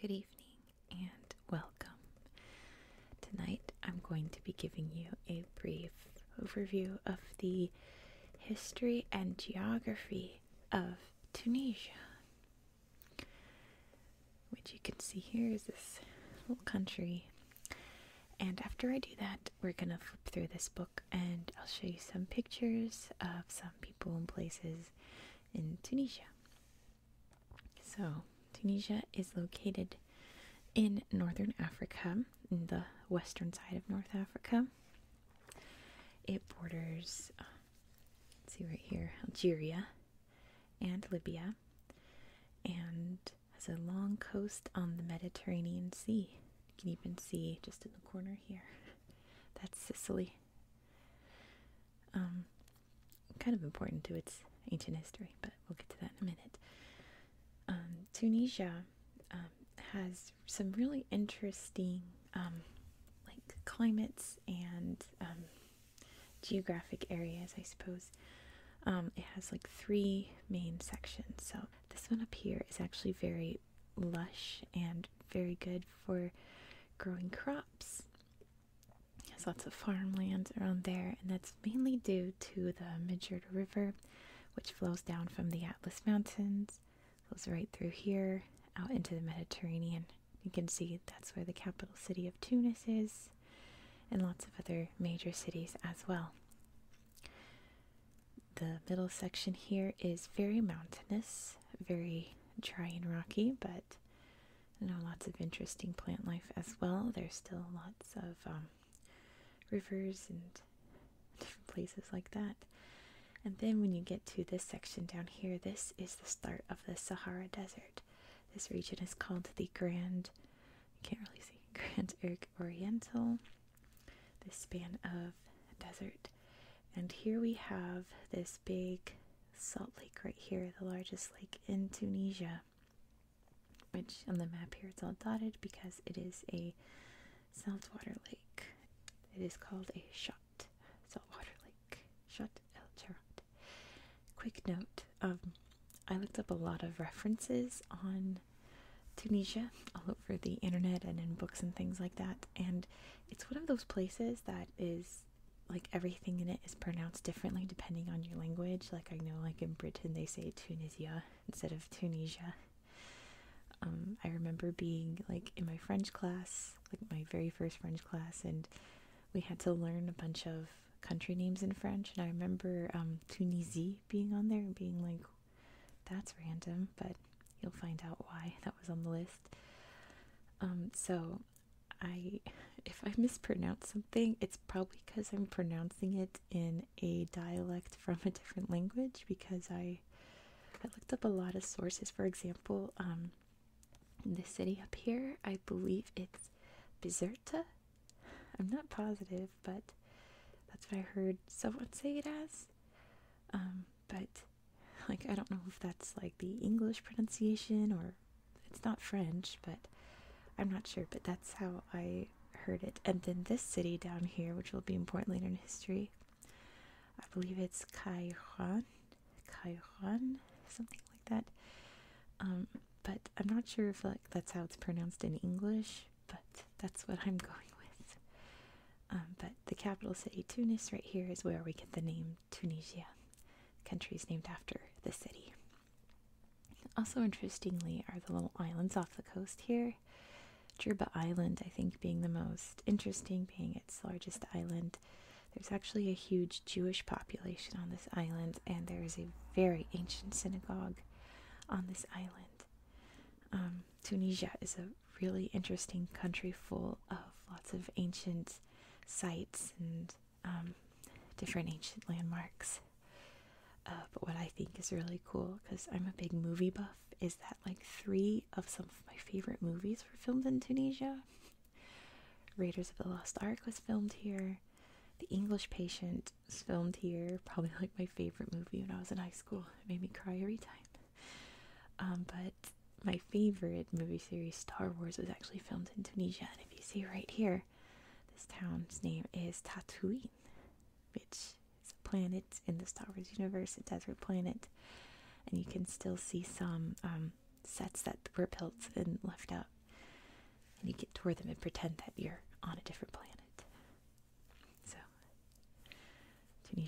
Good evening and welcome. Tonight I'm going to be giving you a brief overview of the history and geography of Tunisia. Which you can see here is this little country and after I do that, we're gonna flip through this book and I'll show you some pictures of some people and places in Tunisia. So, Tunisia is located in northern Africa, in the western side of North Africa. It borders, uh, see right here, Algeria and Libya and has a long coast on the Mediterranean Sea. You can even see just in the corner here. That's Sicily. Um, kind of important to its ancient history, but we'll get to that in a minute. Um, Tunisia um, has some really interesting, um, like climates and geographic areas, I suppose. it has like three main sections. So this one up here is actually very lush and very good for growing crops. There's lots of farmland around there, and that's mainly due to the Midgard River, which flows down from the Atlas Mountains, flows right through here, out into the Mediterranean. You can see that's where the capital city of Tunis is, and lots of other major cities as well. The middle section here is very mountainous, very dry and rocky, but you know lots of interesting plant life as well. There's still lots of um, rivers and different places like that. And then when you get to this section down here, this is the start of the Sahara Desert. This region is called the Grand can't really see, Grand Oak Oriental, this span of desert. And here we have this big salt lake right here, the largest lake in Tunisia, which on the map here it's all dotted because it is a saltwater lake. It is called a shot, saltwater lake, shot el Charat. Quick note, um, I looked up a lot of references on Tunisia all over the internet and in books and things like that. And it's one of those places that is like everything in it is pronounced differently depending on your language. Like I know, like in Britain, they say Tunisia instead of Tunisia. Um, I remember being like in my French class, like my very first French class, and we had to learn a bunch of country names in French. And I remember um, Tunisie being on there and being like, that's random, but you'll find out why that was on the list. Um, so I, if I mispronounce something, it's probably because I'm pronouncing it in a dialect from a different language. Because I, I looked up a lot of sources. For example, um, in this city up here, I believe it's Bizerta I'm not positive, but that's what I heard someone say it as. Um, but like I don't know if that's like the English pronunciation or it's not French, but I'm not sure. But that's how I heard it. And then this city down here, which will be important later in history, I believe it's Cayron, Cayron, something like that. Um, but I'm not sure if like that's how it's pronounced in English but that's what I'm going with. Um, but the capital city, Tunis, right here is where we get the name Tunisia. Countries named after the city. Also, interestingly, are the little islands off the coast here. Jerba Island, I think, being the most interesting, being its largest island. There's actually a huge Jewish population on this island, and there is a very ancient synagogue on this island. Um, Tunisia is a really interesting country full of lots of ancient sites and um, different ancient landmarks. Uh, but what I think is really cool, because I'm a big movie buff, is that like three of some of my favorite movies were filmed in Tunisia. Raiders of the Lost Ark was filmed here, The English Patient, was filmed here. Probably like my favorite movie when I was in high school. It made me cry every time. Um, but my favorite movie series, Star Wars, was actually filmed in Tunisia. And if you see right here, this town's name is Tatooine, which is a planet in the Star Wars universe, a desert planet. And you can still see some um, sets that were built and left out. And you get to toward them and pretend that you're on a different planet. So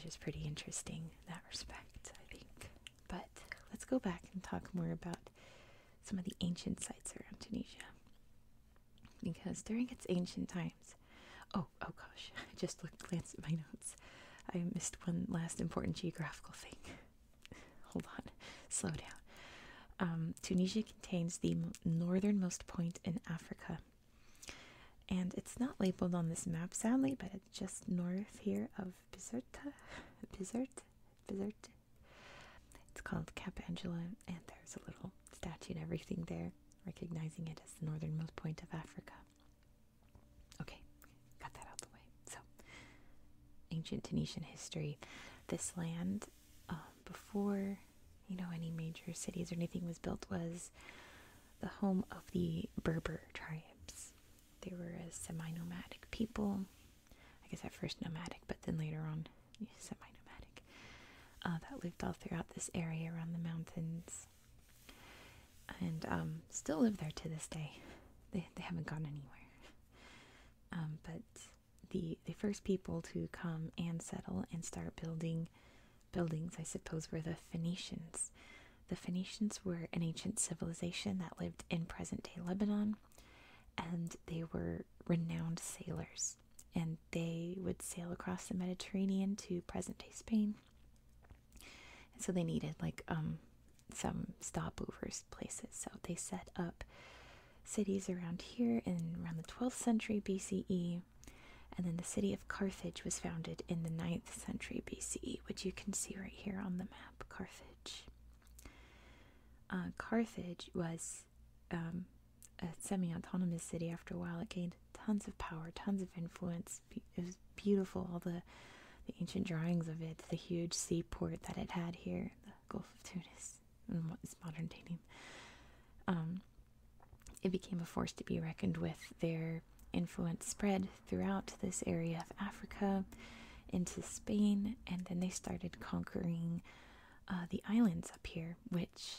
is pretty interesting in that respect, I think. But let's go back and talk more about some of the ancient sites around Tunisia. Because during its ancient times, oh, oh gosh, I just looked, glanced at my notes. I missed one last important geographical thing. Hold on, slow down. Um, Tunisia contains the northernmost point in Africa. And it's not labeled on this map, sadly, but it's just north here of Bizerta. Bizert? Bizert? It's called Cap Angela, and there's a little statue and everything there, recognizing it as the northernmost point of Africa. Okay, got that out the way. So, ancient Tunisian history. This land uh, before you know any major cities or anything was built was the home of the Berber tribes. They were a semi-nomadic people. I guess at first nomadic, but then later on semi-nomadic. Uh, that lived all throughout this area around the mountains, and um, still live there to this day. They they haven't gone anywhere. Um, but the the first people to come and settle and start building buildings, I suppose, were the Phoenicians. The Phoenicians were an ancient civilization that lived in present-day Lebanon, and they were renowned sailors. And they would sail across the Mediterranean to present-day Spain. And so they needed like um some stopovers places. So they set up cities around here in around the 12th century BCE and then the city of Carthage was founded in the 9th century BCE, which you can see right here on the map Carthage. Uh, Carthage was um, a semi autonomous city after a while. It gained tons of power, tons of influence. it was beautiful, all the ancient drawings of it, the huge seaport that it had here, the Gulf of Tunis what is modern dating. Um, it became a force to be reckoned with. Their influence spread throughout this area of Africa into Spain, and then they started conquering uh, the islands up here, which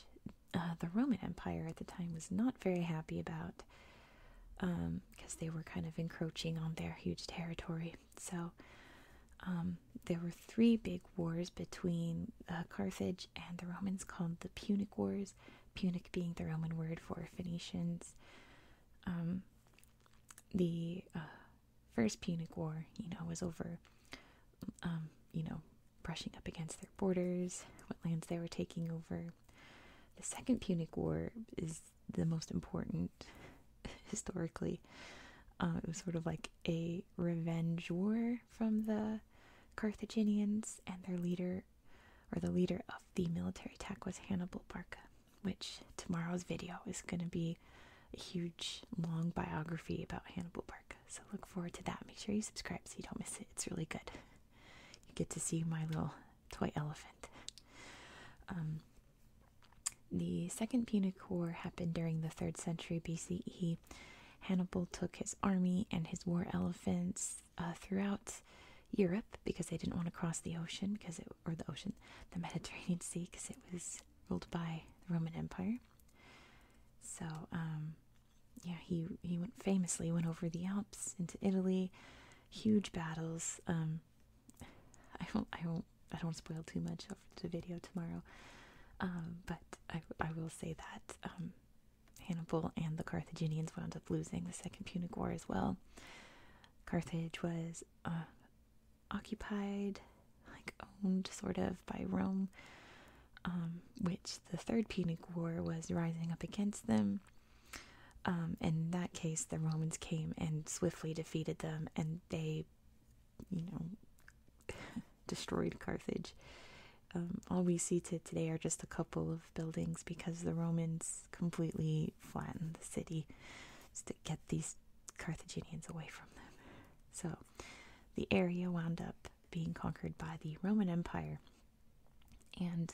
uh, the Roman Empire at the time was not very happy about because um, they were kind of encroaching on their huge territory. So um, there were three big wars between Carthage and the Romans called the Punic Wars, Punic being the Roman word for Phoenicians. Um, the uh, First Punic War, you know, was over, um, you know, brushing up against their borders, what lands they were taking over. The Second Punic War is the most important historically. Uh, it was sort of like a revenge war from the Carthaginians, and their leader, or the leader of the military attack, was Hannibal Barca. Which tomorrow's video is going to be a huge, long biography about Hannibal Barca. So look forward to that. Make sure you subscribe so you don't miss it. It's really good. You get to see my little toy elephant. Um, the Second Punic War happened during the 3rd century BCE Hannibal took his army and his war elephants uh, throughout Europe because they didn't want to cross the ocean because it or the ocean, the Mediterranean Sea because it was ruled by the Roman Empire. So um, yeah, he he went famously went over the Alps into Italy, huge battles. Um, I won't I won't I don't spoil too much up video tomorrow. Um, but I, will say that um, Hannibal and the Carthaginians wound up losing the Second Punic War as well. Carthage was uh, occupied, like owned, sort of, by Rome, um, which the Third Punic War was rising up against them. in that case, the Romans came and swiftly defeated them, and they you know, destroyed Carthage. Um, all we see to today are just a couple of buildings because the Romans completely flattened the city to get these Carthaginians away from them. So the area wound up being conquered by the Roman Empire, and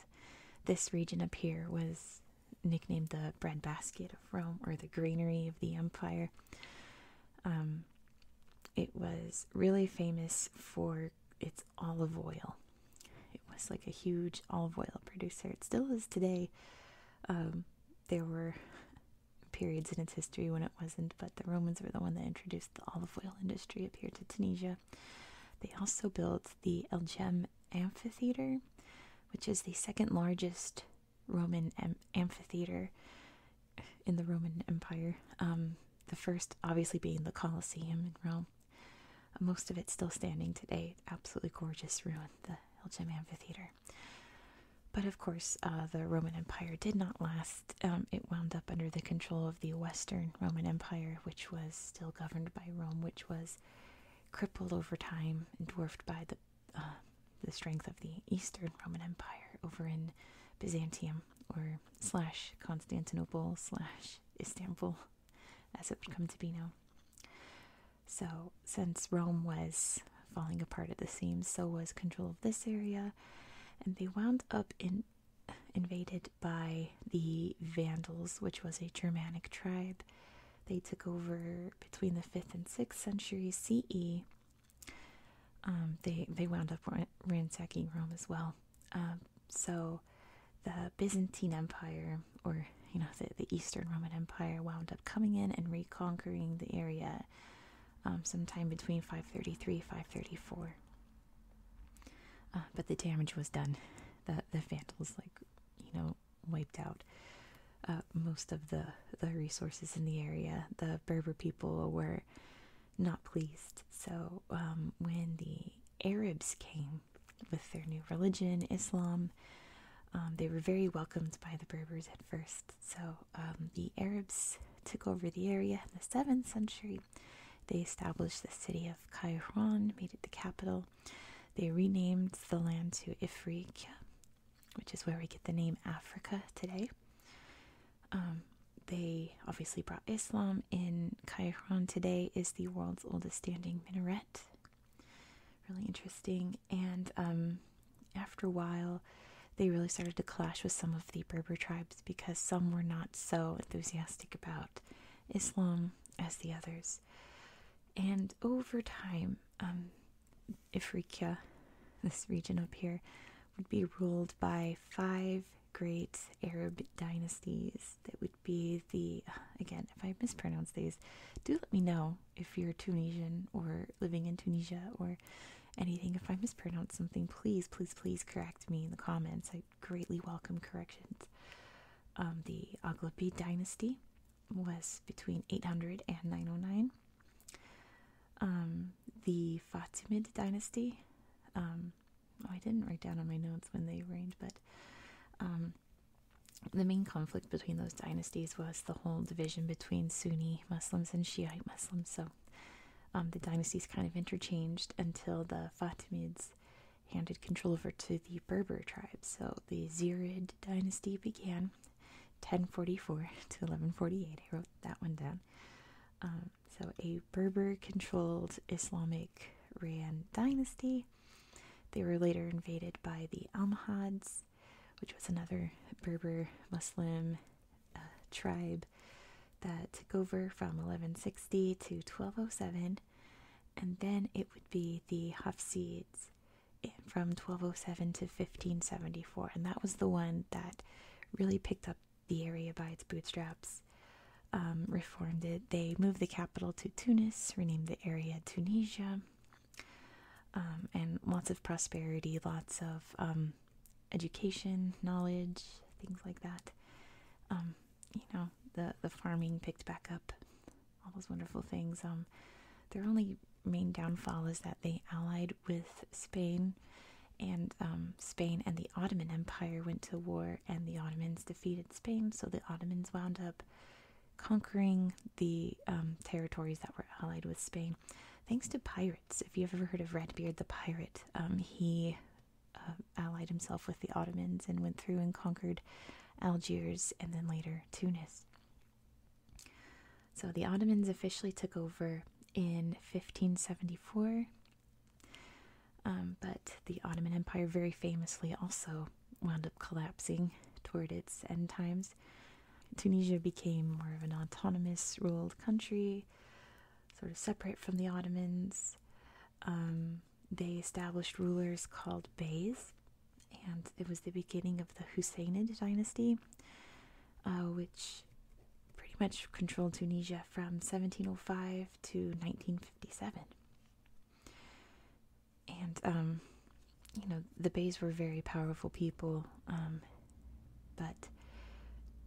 this region up here was nicknamed the breadbasket of Rome or the Greenery of the empire. Um, it was really famous for its olive oil. It was like a huge olive oil producer. It still is today. Um, there were periods in its history when it wasn't, but the Romans were the one that introduced the olive oil industry up here to Tunisia. They also built the El Gem Amphitheater, which is the second largest Roman amphitheater in the Roman Empire. Um, the first, obviously, being the Colosseum in Rome. Most of it still standing today. Absolutely gorgeous ruin, the Elgin Amphitheater. But of course, uh, the Roman Empire did not last. Um, it wound up under the control of the Western Roman Empire, which was still governed by Rome, which was crippled over time and dwarfed by the uh, the strength of the Eastern Roman Empire over in Byzantium or slash Constantinople slash Istanbul, as it would come to be now. So, since Rome was falling apart at the seams, so was control of this area, and they wound up in, invaded by the Vandals, which was a Germanic tribe. They took over between the 5th and 6th centuries CE um, they they wound up ransacking Rome as well. Um, so the Byzantine Empire, or you know the, Eastern Roman Empire, wound up coming in and reconquering the area um, sometime between 533 534. Uh, but the damage was done. The the Vandals like you know wiped out uh, most of the the resources in the area. The Berber people were not pleased. So um, when the Arabs came with their new religion, Islam, um, they were very welcomed by the Berbers at first. So um, the Arabs took over the area in the seventh century. They established the city of Kairouan, made it the capital. They renamed the land to Ifriqiya, which is where we get the name Africa today. Um, they obviously brought Islam in. Kairan. today is the world's oldest standing minaret. Really interesting. And um, after a while, they really started to clash with some of the Berber tribes because some were not so enthusiastic about Islam as the others. And over time, um, this region up here, would be ruled by five great Arab dynasties that would be the, again, if I mispronounce these, do let me know if you're Tunisian or living in Tunisia or anything. If I mispronounce something, please, please, please correct me in the comments. I greatly welcome corrections. Um, the Aghlabi dynasty was between 800 and 909. Um, the Fatimid dynasty. oh, I didn't write down on my notes when they reigned, but um, the main conflict between those dynasties was the whole division between Sunni Muslims and Shiite Muslims. So um, the dynasties kind of interchanged until the Fatimids handed control over to the Berber tribes. So the Zirid dynasty began 1044 to 1148. I wrote that one down. Um, so, a Berber controlled Islamic Ran dynasty. They were later invaded by the Almohads, which was another Berber Muslim uh, tribe that took over from 1160 to 1207. And then it would be the Hafsids from 1207 to 1574. And that was the one that really picked up the area by its bootstraps, um, reformed it. They moved the capital to Tunis, renamed the area Tunisia, um, and lots of prosperity, lots of um, education, knowledge, things like that. you know, the, the farming picked back up, all those wonderful things. their only main downfall is that they allied with Spain and um, Spain and the Ottoman Empire went to war, and the Ottomans defeated Spain, so the Ottomans wound up conquering the um, territories that were allied with Spain, thanks to pirates. If you've ever heard of Redbeard the pirate, um, he uh, allied himself with the Ottomans and went through and conquered Algiers and then later Tunis. So the Ottomans officially took over in 1574. Um, but the Ottoman Empire very famously also wound up collapsing toward its end times. Tunisia became more of an autonomous ruled country, sort of separate from the Ottomans. Um, they established rulers called beys, and it was the beginning of the Husaynid dynasty. Uh, which pretty much controlled Tunisia from 1705 to 1957. And, um, you know, the Beys were very powerful people, um, but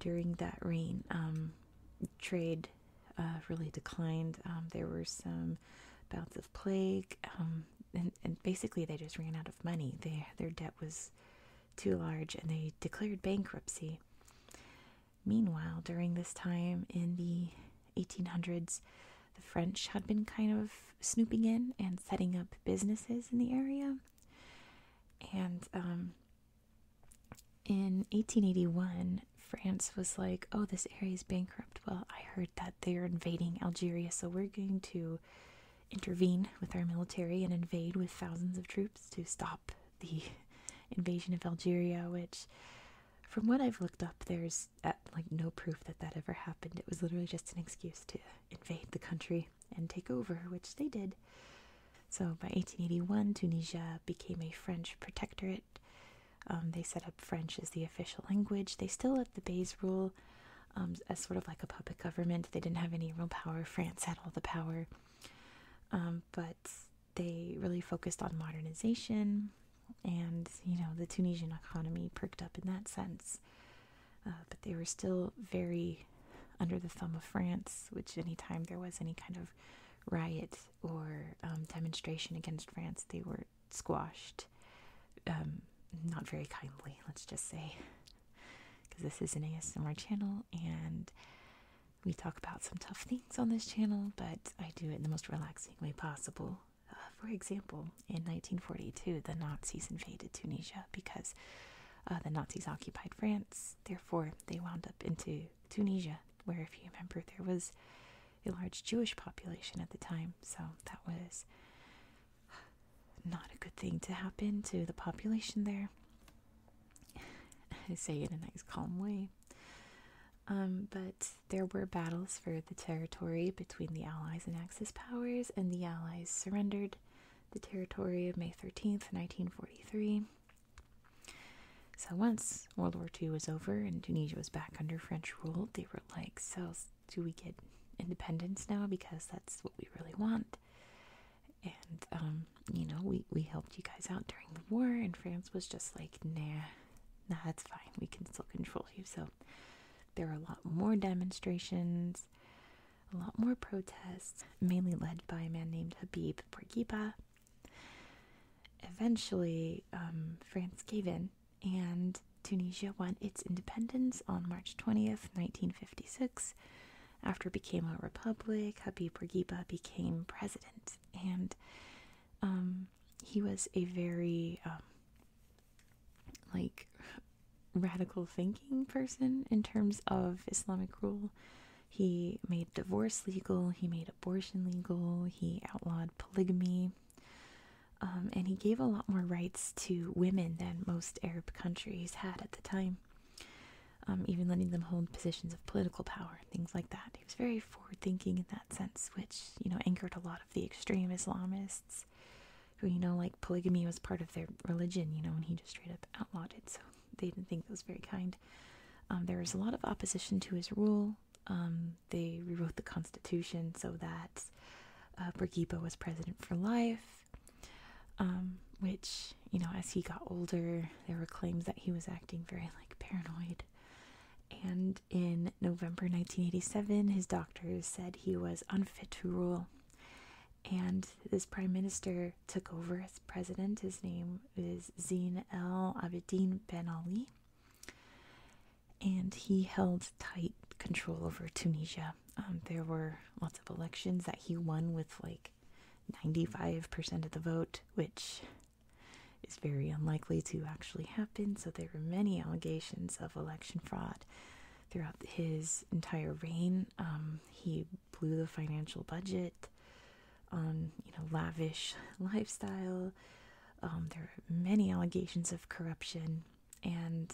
during that reign, um, trade uh, really declined. there were some bouts of plague, and, and basically they just ran out of money. They, their debt was too large and they declared bankruptcy. Meanwhile, during this time in the 1800s, the French had been kind of snooping in and setting up businesses in the area. And um, in 1881, France was like, oh, this area is bankrupt. Well, I heard that they're invading Algeria, so we're going to intervene with our military and invade with thousands of troops to stop the invasion of Algeria, which, from what I've looked up, there's uh, like no proof that that ever happened. It was literally just an excuse to invade the country and take over, which they did. So by 1881, Tunisia became a French protectorate. Um, they set up French as the official language. They still let the Beys rule um, as sort of like a puppet government. They didn't have any real power. France had all the power. Um, but they really focused on modernization, and you know, the Tunisian economy perked up in that sense. Uh, but they were still very under the thumb of France, which anytime there was any kind of riot or um, demonstration against France, they were squashed. Um, not very kindly, let's just say because this is an ASMR channel and we talk about some tough things on this channel, but I do it in the most relaxing way possible. Uh, for example, in 1942, the Nazis invaded Tunisia because uh, the Nazis occupied France. Therefore, they wound up into Tunisia, where, if you remember, there was a large Jewish population at the time. So that was not a good thing to happen to the population there. I say it in a nice calm way. Um, but there were battles for the territory between the Allies and Axis powers, and the Allies surrendered the territory of May 13th, 1943. So once World War II was over and Tunisia was back under French rule, they were like, so do we get independence now because that's what we really want? and um, you know we we helped you guys out during the war and France was just like nah nah that's fine we can still control you so there were a lot more demonstrations a lot more protests mainly led by a man named Habib Bourguiba eventually um, France gave in and Tunisia won its independence on March 20th 1956 after became a republic, Habib Bourguiba became president, and um, he was a very um, like radical thinking person in terms of Islamic rule. He made divorce legal, he made abortion legal, he outlawed polygamy, um, and he gave a lot more rights to women than most Arab countries had at the time. Um, even letting them hold positions of political power things like that. He was very forward thinking in that sense, which, you know, angered a lot of the extreme Islamists who, you know, like polygamy was part of their religion, you know, and he just straight up outlawed it. So they didn't think that was very kind. Um, there was a lot of opposition to his rule. Um, they rewrote the Constitution so that uh, was president for life. Um, which, you know, as he got older, there were claims that he was acting very like paranoid. And in November 1987, his doctors said he was unfit to rule. And this prime minister took over as president. His name is Zine El Abidine Ben Ali. And he held tight control over Tunisia. Um, there were lots of elections that he won with like 95% of the vote, which is very unlikely to actually happen. So there were many allegations of election fraud throughout his entire reign. Um, he blew the financial budget on, you know, lavish lifestyle. Um, there were many allegations of corruption, and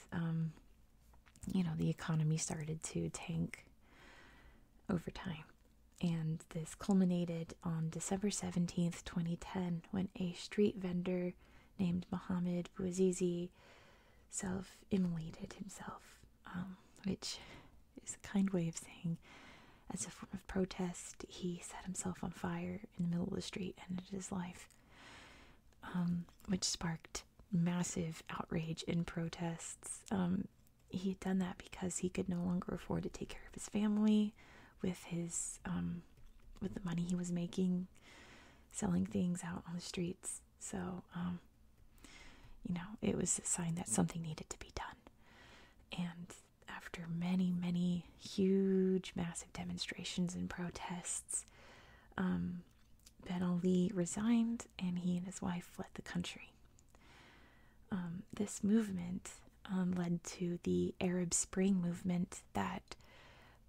you know, the economy started to tank over time. And this culminated on December 17th, 2010, when a street vendor named Mohamed Bouazizi self immolated himself, um, which is a kind way of saying, as a form of protest, he set himself on fire in the middle of the street and ended his life, um, which sparked massive outrage and protests. Um, he had done that because he could no longer afford to take care of his family with his um, with the money he was making selling things out on the streets. So, um, you know, it was a sign that something needed to be done. And after many, many huge, massive demonstrations and protests, Ben Ali resigned and he and his wife fled the country. Um, this movement um, led to the Arab Spring movement that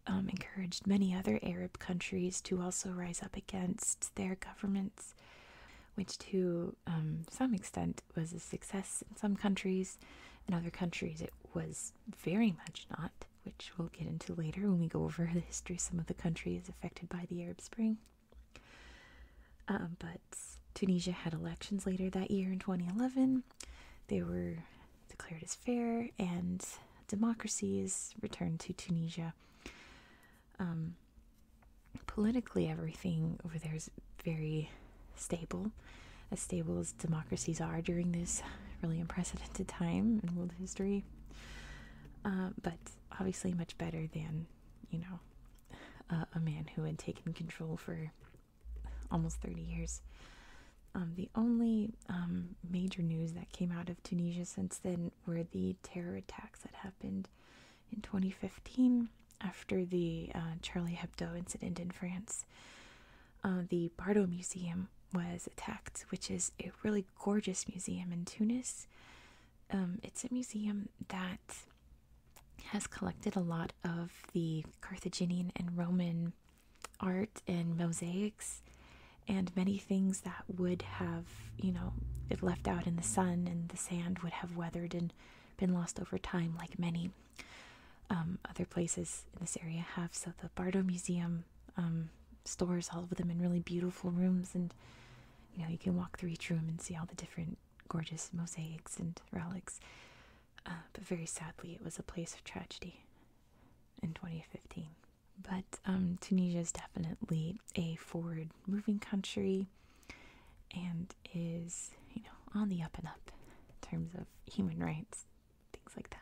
um, encouraged many other Arab countries to also rise up against their governments, which to some extent was a success in some countries. In other countries, it was very much not, which we'll get into later when we go over the history of some of the countries affected by the Arab Spring. Um, but Tunisia had elections later that year in 2011. They were declared as fair, and democracies returned to Tunisia. Um, politically, everything over there is very stable, as stable as democracies are during this really unprecedented time in world history. Uh, but obviously much better than, you know, a man who had taken control for almost 30 years. Um, the only um, major news that came out of Tunisia since then were the terror attacks that happened in 2015 after the uh, Charlie Hebdo incident in France. Uh, the Bardo Museum was attacked, which is a really gorgeous museum in Tunis. Um, it's a museum that has collected a lot of the Carthaginian and Roman art and mosaics and many things that would have, you know, if left out in the sun and the sand would have weathered and been lost over time, like many um, other places in this area have. So the Bardo Museum um, stores all of them in really beautiful rooms, and you know you can walk through each room and see all the different gorgeous mosaics and relics. Uh, but very sadly, it was a place of tragedy in 2015. But um, Tunisia is definitely a forward-moving country, and is you know on the up and up in terms of human rights, things like that.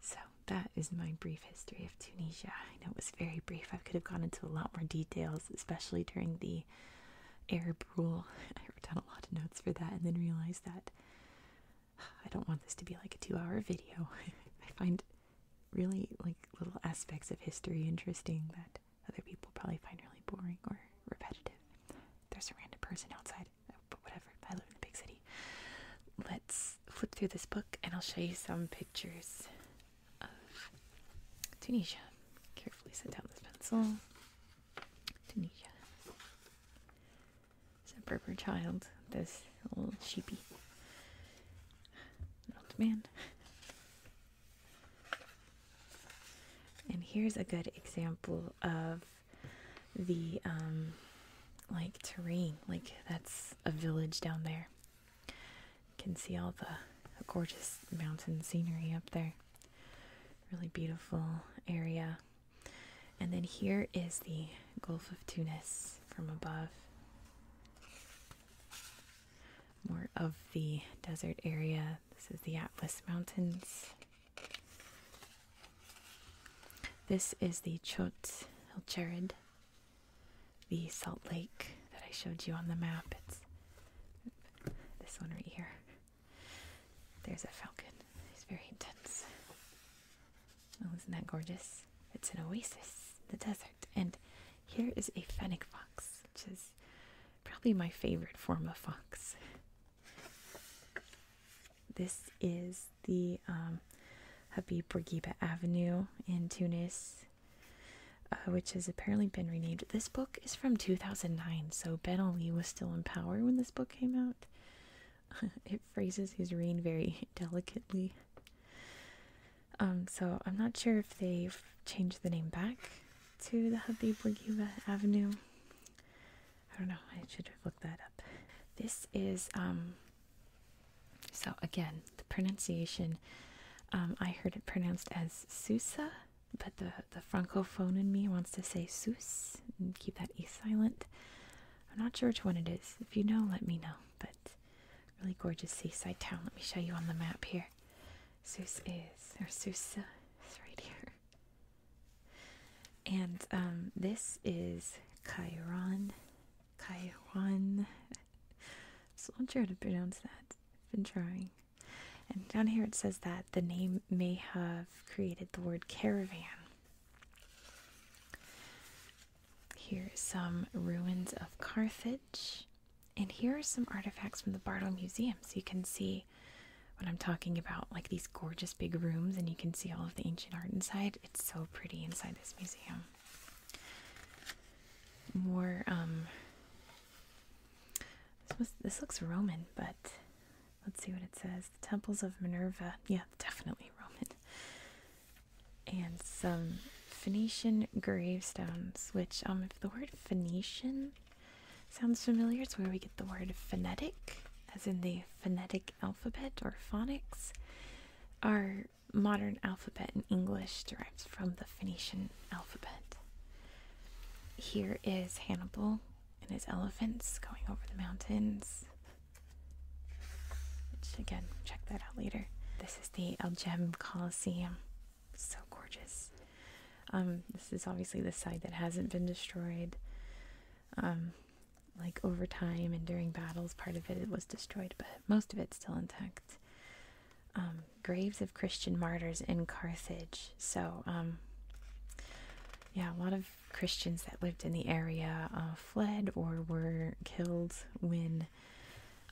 So that is my brief history of Tunisia. I know it was very brief. I could have gone into a lot more details, especially during the Arab rule. I wrote down a lot of notes for that and then realized that I don't want this to be like a two hour video. I find really like little aspects of history interesting that other people probably find really boring or repetitive. There's a random person outside, but whatever. I live in a big city. Let's flip through this book and I'll show you some pictures of Tunisia. Carefully set down this pencil. Tunisia. It's a Berber child, this little sheepy. old man. And here's a good example of the um, like terrain. Like that's a village down there. You can see all the gorgeous mountain scenery up there. Really beautiful area. And then here is the Gulf of Tunis from above. More of the desert area. This is the Atlas Mountains. This is the Chot El Cherid the Salt Lake that I showed you on the map. It's this one right here. There's a falcon. It's very intense. Oh, isn't that gorgeous? It's an oasis, the desert. And here is a fennec fox, which is probably my favorite form of fox. This is the um, Habib Bourguiba Avenue in Tunis, uh, which has apparently been renamed. This book is from 2009, so Ben Ali was still in power when this book came out. it phrases his reign very delicately. Um, so I'm not sure if they've changed the name back to the Habib Bourguiba Avenue. I don't know. I should look that up. This is um, so again, the pronunciation, um, I heard it pronounced as Susa, but the, the francophone in me wants to say Sus and keep that E silent. I'm not sure which one it is. If you know, let me know. But really gorgeous seaside town. Let me show you on the map here. Sus is, or Susa is right here. And um, this is Kairon. Kairon I'm not sure how to pronounce that. I've been trying. And down here it says that the name may have created the word caravan. Here is some ruins of Carthage. And here are some artifacts from the Bardo Museum. So you can see what I'm talking about, like these gorgeous big rooms, and you can see all of the ancient art inside. It's so pretty inside this museum more um this looks Roman, but let's see what it says. The temples of Minerva. Yeah, definitely Roman. And some Phoenician gravestones, which um if the word Phoenician sounds familiar, it's where we get the word phonetic, as in the phonetic alphabet or phonics. Are modern alphabet in English derives from the Phoenician alphabet. Here is Hannibal and his elephants going over the mountains. Which, again, check that out later. This is the Algem Coliseum. So gorgeous. Um, this is obviously the side that hasn't been destroyed. Um, like over time and during battles, part of it was destroyed, but most of it still intact. Um, graves of Christian martyrs in Carthage. So, um, yeah, a lot of Christians that lived in the area uh, fled or were killed when,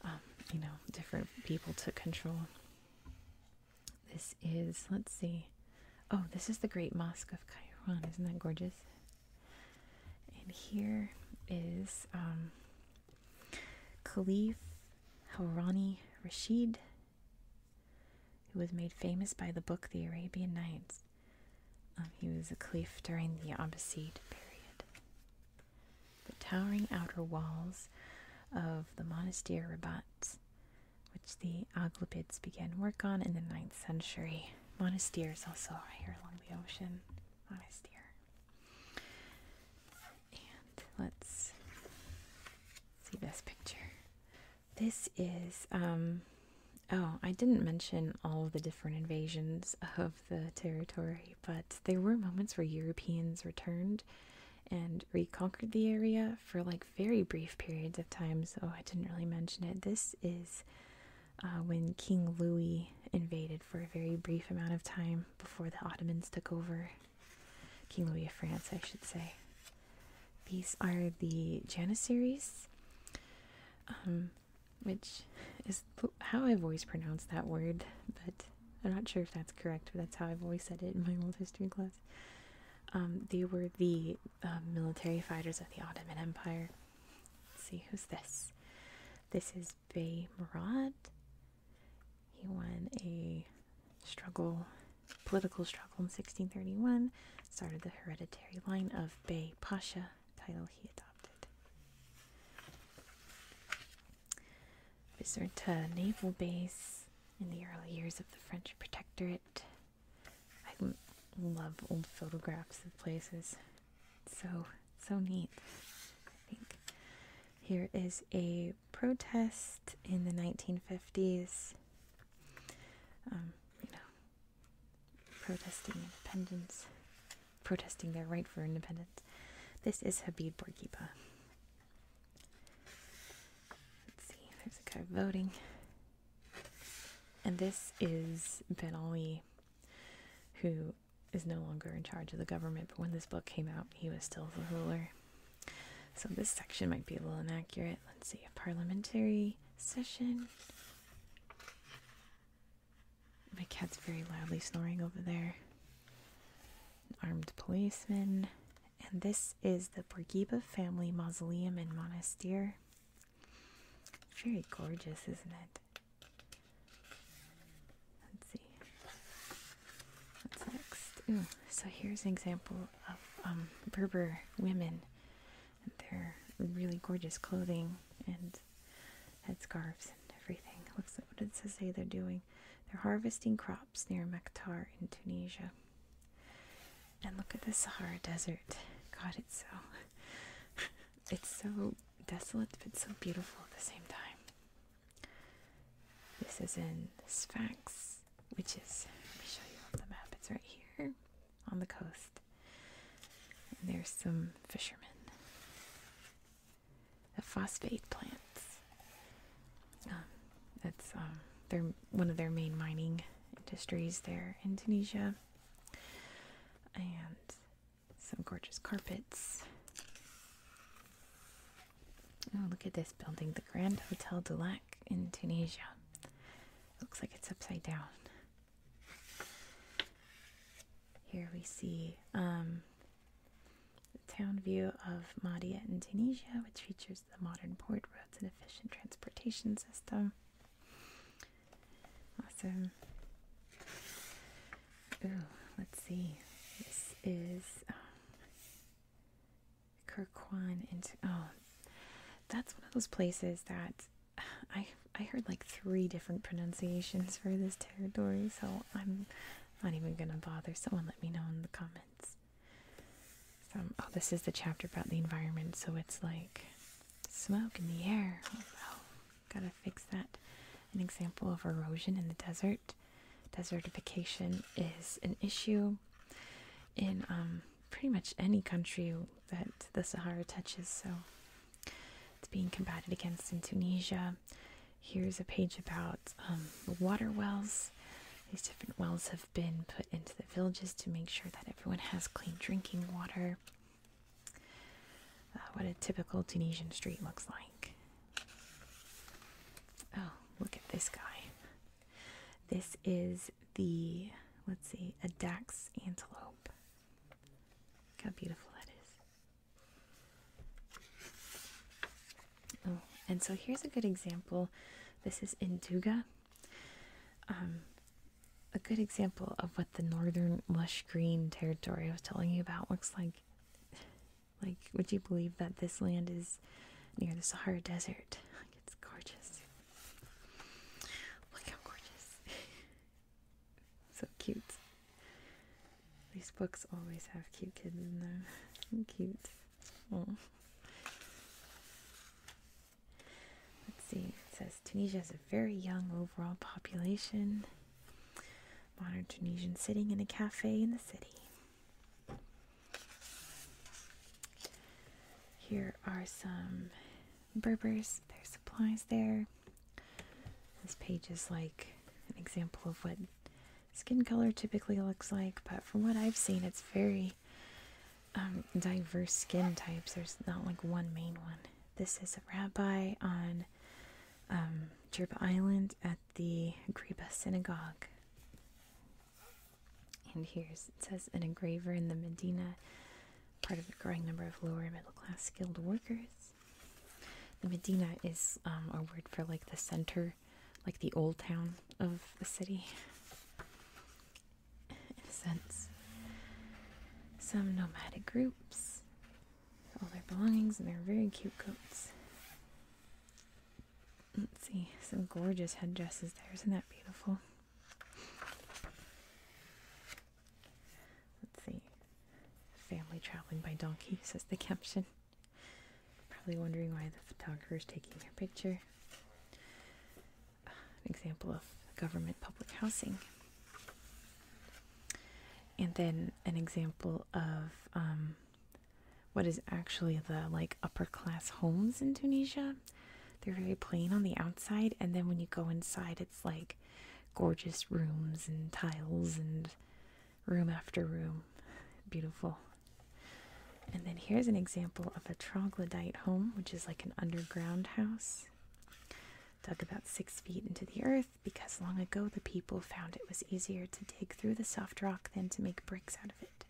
um, you know, different people took control. This is, let's see. Oh, this is the Great Mosque of Cairo. Isn't that gorgeous? And here is um, Khalif Harani Rashid, who was made famous by the book The Arabian Nights. Um, he was a caliph during the Abbasid period. The towering outer walls of the monastery Rabat, which the Aghlabids began work on in the 9th century. monasteries also right here along the ocean. Monastir let's see this picture. This is, um, oh, I didn't mention all the different invasions of the territory, but there were moments where Europeans returned and reconquered the area for like very brief periods of time, so I didn't really mention it. This is uh, when King Louis invaded for a very brief amount of time before the Ottomans took over. King Louis of France, I should say. These are the Janissaries, um, which is how I've always pronounced that word, but I'm not sure if that's correct, but that's how I've always said it in my old history class. Um, they were the uh, military fighters of the Ottoman Empire. see, who's this? This is Bay Marat. He won a struggle, political struggle in 1631, started the hereditary line of Bay Pasha, title he adopted. Visit to naval base in the early years of the French protectorate. I love old photographs of places. So, so neat. here is a protest in the 1950s. Um, you know, protesting independence, protesting their right for independence. This is Habib Bourguiba. Let's see, there's a guy voting. And this is Ben Ali, who is no longer in charge of the government, but when this book came out, he was still the ruler. So this section might be a little inaccurate. Let's see, a parliamentary session. My cat's very loudly snoring over there. armed policeman. And this is the Bourguiba family mausoleum and monastery. Very gorgeous, isn't it? Let's see. What's next? so here's an example of um, Berber women and their really gorgeous clothing and head scarves and everything. Looks like what it says they they're doing. They're harvesting crops near Maktar in Tunisia. And look at the Sahara Desert. God, it's so it's so desolate, but so beautiful at the same time. This is in Sfax, which is, let me show you on the map, it's right here on the coast. And there's some fishermen. The phosphate plants. Um, that's um, their, one of their main mining industries there in Tunisia. And some gorgeous carpets. Oh, look at this building, the Grand Hotel du Lac in Tunisia. Looks like it's upside down. Here we see um, the town view of Mahdia in Tunisia, which features the modern port roads and efficient transportation system. Awesome. Ooh, let's see. This is um, Kirkwan into oh, that's one of those places that I I heard like three different pronunciations for this territory, so I'm not even gonna bother. Someone let me know in the comments. oh, this is the chapter about the environment, so it's like smoke in the air. Oh, Gotta fix that. An example of erosion in the desert. Desertification is an issue in um, pretty much any country that the Sahara touches, so it's being combated against in Tunisia. Here's a page about um, water wells. These different wells have been put into the villages to make sure that everyone has clean drinking water. Uh, what a typical Tunisian street looks like. Oh, look at this guy. This is the, let's see, a Dax antelope. Look how beautiful that is. Oh, and so here's a good example. This is Induga. Um, a good example of what the northern lush green territory I was telling you about looks like. Like, would you believe that this land is near the Sahara Desert? Like, it's gorgeous. Look how gorgeous. so cute. These books always have cute kids in them. cute. Let's see. It says Tunisia has a very young overall population. Modern Tunisian sitting in a cafe in the city. Here are some Berbers, their supplies there. This page is like an example of what skin color typically looks like, but from what I've seen, it's very um, diverse skin types. There's not like one main one. This is a rabbi on on um, Island at the Greba Synagogue. And here's it says an engraver in the Medina, part of a growing number of lower and middle class skilled workers. The Medina is um, a word for like the center, like the old town of the city, in a sense. Some nomadic groups all their belongings and they're very cute goats. Let's see, some gorgeous head dresses there. Isn't that beautiful? Let's see. Family traveling by donkey, says the caption. Probably wondering why the photographer is taking their picture. an example of government public housing and then an example of um, what is actually the like upper class homes in Tunisia. They're very plain on the outside, and then when you go inside, it's like gorgeous rooms and tiles and room after room. Beautiful. And then here's an example of a troglodyte home, which is like an underground house dug about six feet into the earth because long ago the people found it was easier to dig through the soft rock than to make bricks out of it.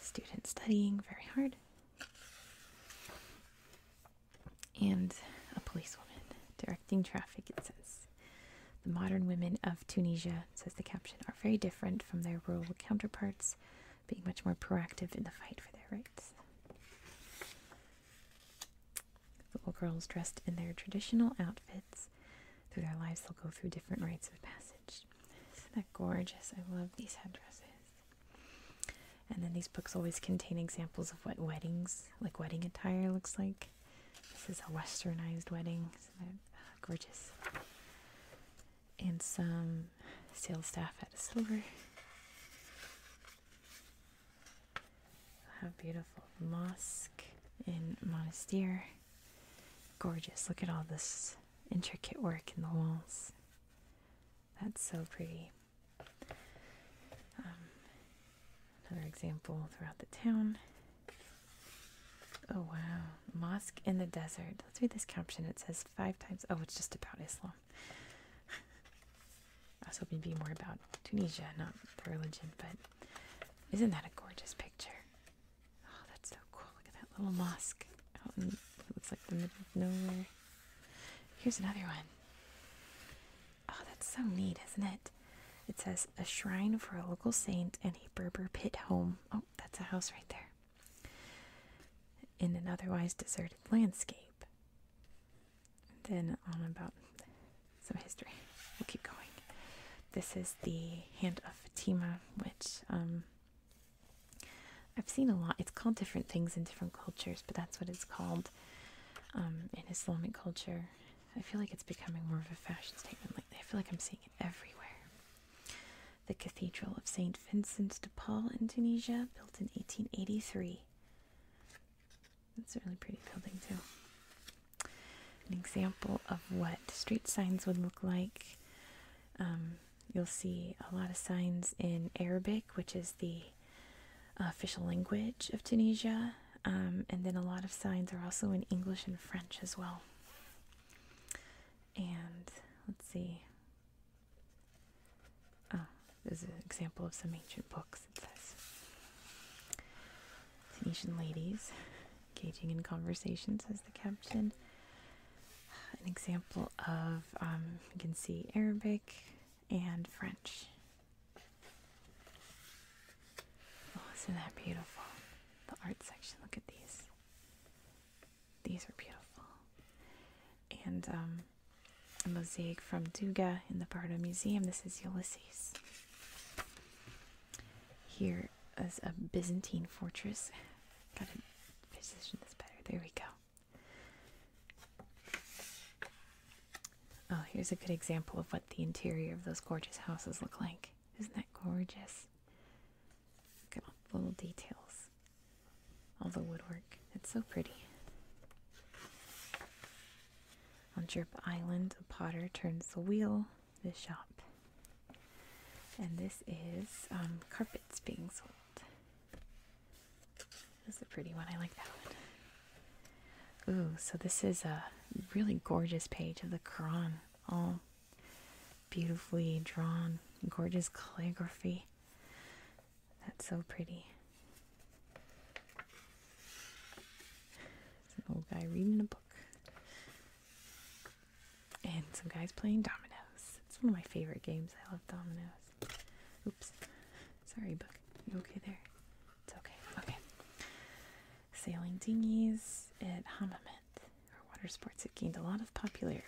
Student studying very hard. And a policewoman directing traffic, it says. The modern women of Tunisia, says the caption, are very different from their rural counterparts, being much more proactive in the fight for their rights. Little girls dressed in their traditional outfits. Through their lives, they'll go through different rites of passage. That's gorgeous? I love these headdresses. And then these books always contain examples of what weddings, like wedding attire, looks like. This is a westernized wedding. is uh, gorgeous? And some sales staff at a silver. How beautiful. Mosque in Monastir. Gorgeous. Look at all this intricate work in the walls. That's so pretty. Um, another example throughout the town. Oh wow. Mosque in the desert. Let's read this caption. It says five times. Oh, it's just about Islam. I was hoping to be more about Tunisia, not the religion, but isn't that a gorgeous picture? Oh, that's so cool. Look at that little mosque out in it looks like the middle of nowhere. Here's another one. Oh, that's so neat, isn't it? It says a shrine for a local saint and a Berber pit home. Oh, that's a house right there. In an otherwise deserted landscape then on about some history. We'll keep going. This is the Hand of Fatima, which um, I've seen a lot. It's called different things in different cultures, but that's what it's called um, in Islamic culture. I feel like it's becoming more of a fashion statement. Like I feel like I'm seeing it everywhere. The Cathedral of St. Vincent de Paul in Tunisia, built in 1883, that's a really pretty building too. An example of what street signs would look like. Um, you'll see a lot of signs in Arabic, which is the official language of Tunisia, um, and then a lot of signs are also in English and French as well. And let's see, Oh, there's an example of some ancient books, it says. "Tunisian ladies engaging in conversations." As the caption. An example of, you um, can see Arabic and French. Oh, isn't that beautiful? The art section, look at these. These are beautiful. And um, a mosaic from Duga in the Bardo Museum. This is Ulysses. Here is a Byzantine fortress. Gotta position this better. There we go. Oh, here's a good example of what the interior of those gorgeous houses look like. Isn't that gorgeous? Look at all the little details all the woodwork. It's so pretty. On Drip Island, a potter turns the wheel, the shop. And this is um, carpets being sold. This a pretty one. I like that one. Ooh, so this is a really gorgeous page of the Quran, all beautifully drawn, gorgeous calligraphy. That's so pretty. It's an old guy reading a book. And some guys playing dominoes. It's one of my favorite games. I love dominoes. Oops. Sorry, book. You okay there? It's okay. Okay. Sailing dinghies at Hammamet, or water sports, have gained a lot of popularity.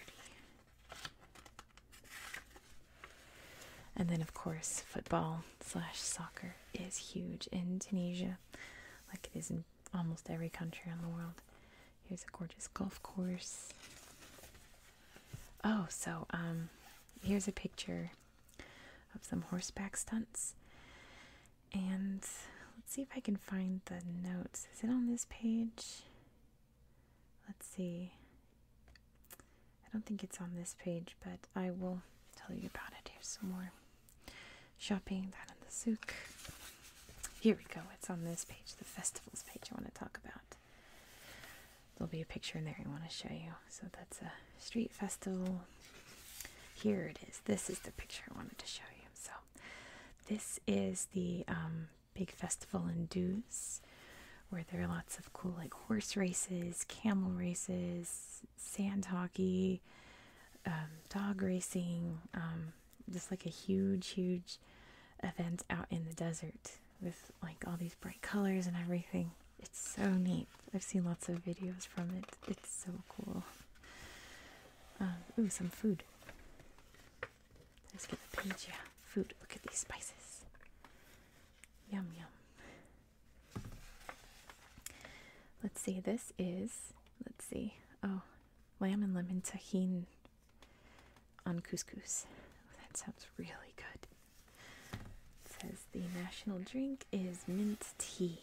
And then, of course, football slash soccer is huge in Tunisia, like it is in almost every country in the world. Here's a gorgeous golf course. Oh, so um, here's a picture of some horseback stunts. And let's see if I can find the notes. Is it on this page? Let's see. I don't think it's on this page, but I will tell you about it. Here's some more shopping down in the souk. Here we go. It's on this page, the festivals page I want to talk about. There'll be a picture in there I want to show you. So that's a street festival. Here it is. This is the picture I wanted to show you. So this is the um, big festival in Dews where there are lots of cool like horse races, camel races, sand hockey, um, dog racing, um, just like a huge, huge event out in the desert with like all these bright colors and everything. It's so neat. I've seen lots of videos from it. It's so cool. Um, ooh, some food. Let's get the page. Yeah, food. Look at these spices. Yum, yum. Let's see, this is, let's see, oh, lamb and lemon tahini on couscous. Oh, that sounds really good. says the national drink is mint tea,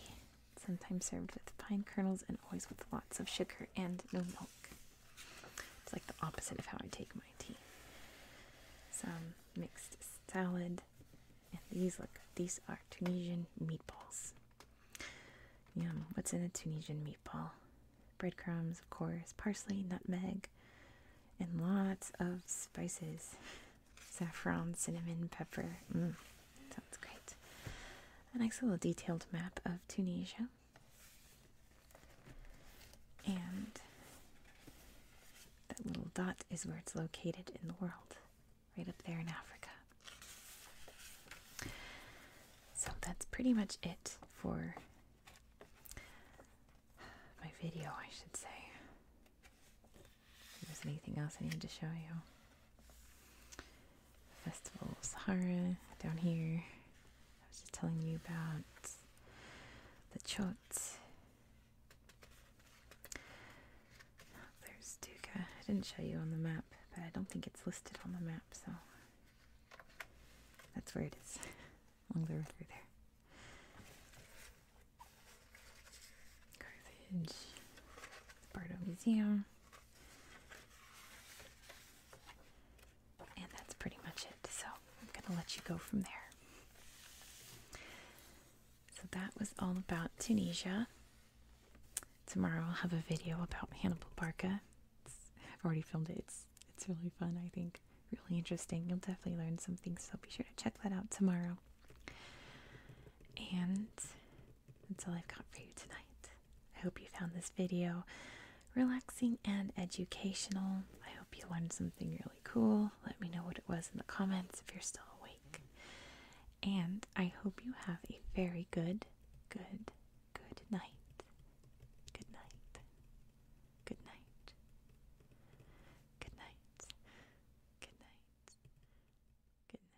sometimes served with pine kernels and always with lots of sugar and no milk. It's like the opposite of how I take my tea. Some mixed salad, and these look these are Tunisian meatballs. Yum! What's in a Tunisian meatball? Breadcrumbs, of course, parsley, nutmeg, and lots of spices: saffron, cinnamon, pepper. Mm, sounds great. A nice little detailed map of Tunisia. And that little dot is where it's located in the world, right up there in Africa. So that's pretty much it for my video, I should say. If there's anything else I need to show you. Festival of Sahara down here. I was just telling you about the chot. There's Duca. I didn't show you on the map, but I don't think it's listed on the map, so that's where it is, along the river there. Carthage, the Museum. And that's pretty much it. So I'm going to let you go from there. So that was all about Tunisia. Tomorrow I'll have a video about Hannibal Barca. I've already filmed it. It's it's really fun, I think. Really interesting. You'll definitely learn something. so be sure to check that out tomorrow. And that's all I've got for you tonight. I hope you found this video relaxing and educational. I hope you learned something really cool. Let me know what it was in the comments if you're still awake. And I hope you have a very good, good, good night. Good night. Good night. Good night. Good night. Good night.